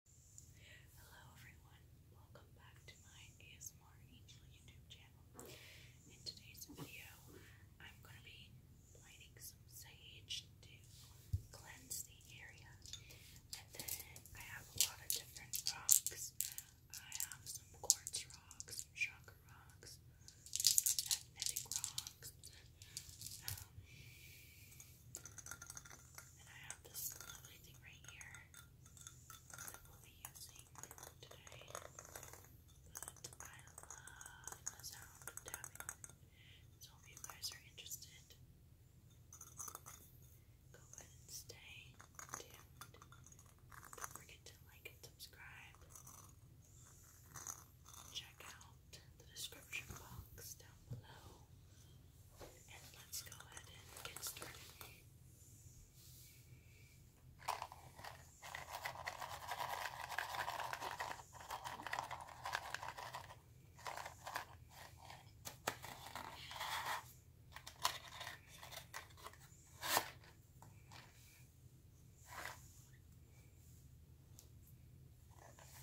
Hello everyone, welcome back to my ASMR Angel YouTube channel. In today's video, I'm going to be lighting some sage to cleanse the area. And then I have a lot of different rocks. I have some quartz rocks, some chakra rocks, magnetic rocks. Um, and I have this lovely thing right here that we'll be using today. I love the sound of tapping. So if you guys are interested, go ahead and stay tuned. Don't forget to like and subscribe. Check out the description description box down below. And let's go ahead and get started.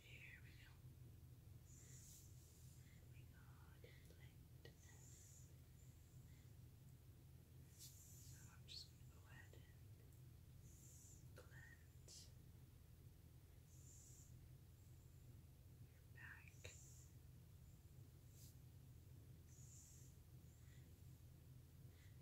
There we go. We got light. So I'm just going to go ahead and cleanse your back.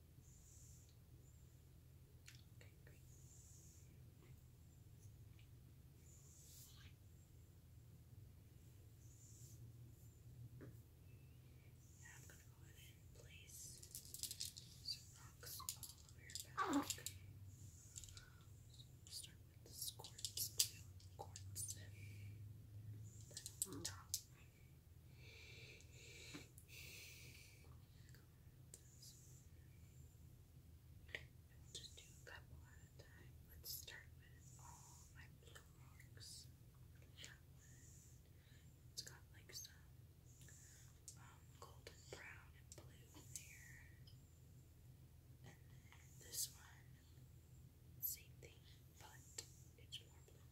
Okay, great. Now I'm going to go ahead and place some rocks all over your back. start with this quartz blue quartz, then top. We'll just do a couple at a time. Let's start with all my blue marks. It's got like some golden brown and blue in there. And this one, same thing, but it's more blue.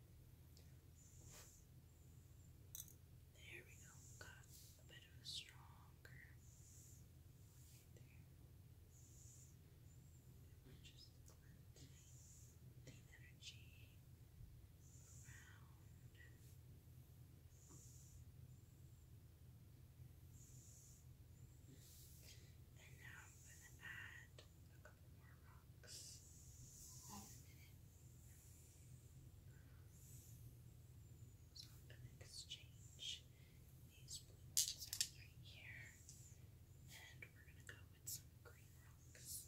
There we go. Got a bit of a stronger there. We're just cleansing the energy around. And now I'm going to add more rocks. So I'm going to exchange these blue right here. And we're going to go with some green rocks.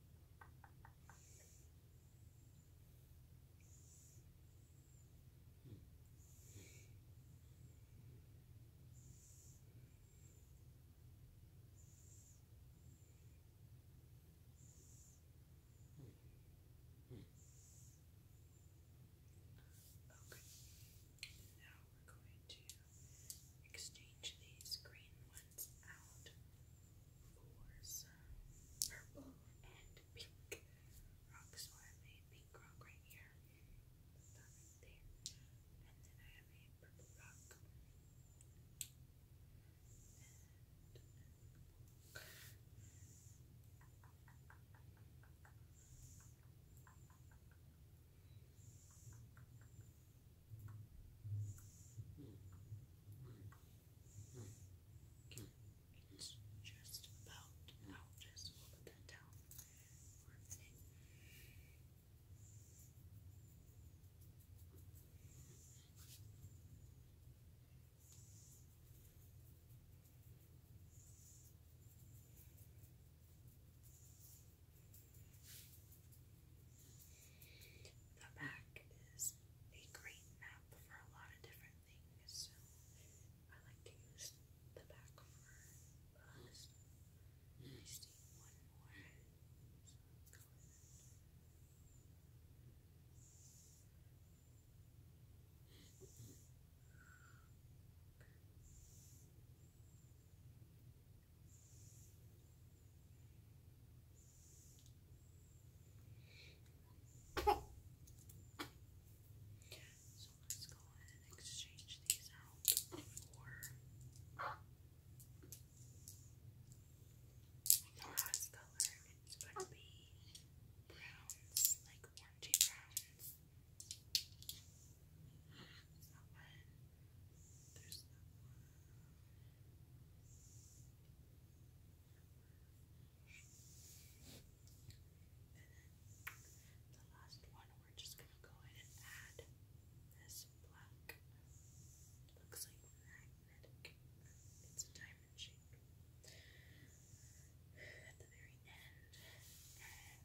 Okay, now we're going to exchange these green ones out for some purple and pink rocks. So I have a pink rock right here, that there, and then I have a purple rock. It's just about out. Just put that down the back is a great map for a lot of different things, I like to use the back for just one more, so let's go ahead and exchange these out for the last color. It's going to be browns, like orangey browns. There's that the last one, we're just gonna go ahead and add this black. Looks like magnetic. It's a diamond shape. At the very end.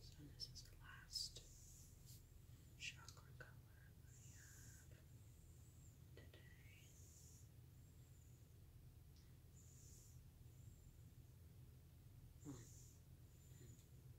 So this is the last chakra color I have today. Hmm. Hmm.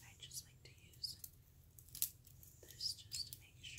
I just like to use this just to make sure.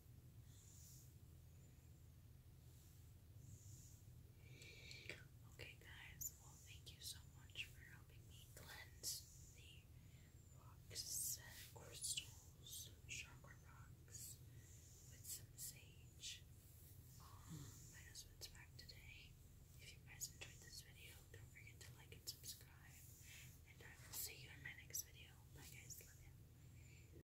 Okay, guys, well, thank you so much for helping me cleanse the rocks and uh, crystals, chakra rocks, with some sage. Um, my husband's back today. If you guys enjoyed this video, don't forget to like and subscribe. And I will see you in my next video. Bye, guys. Love you.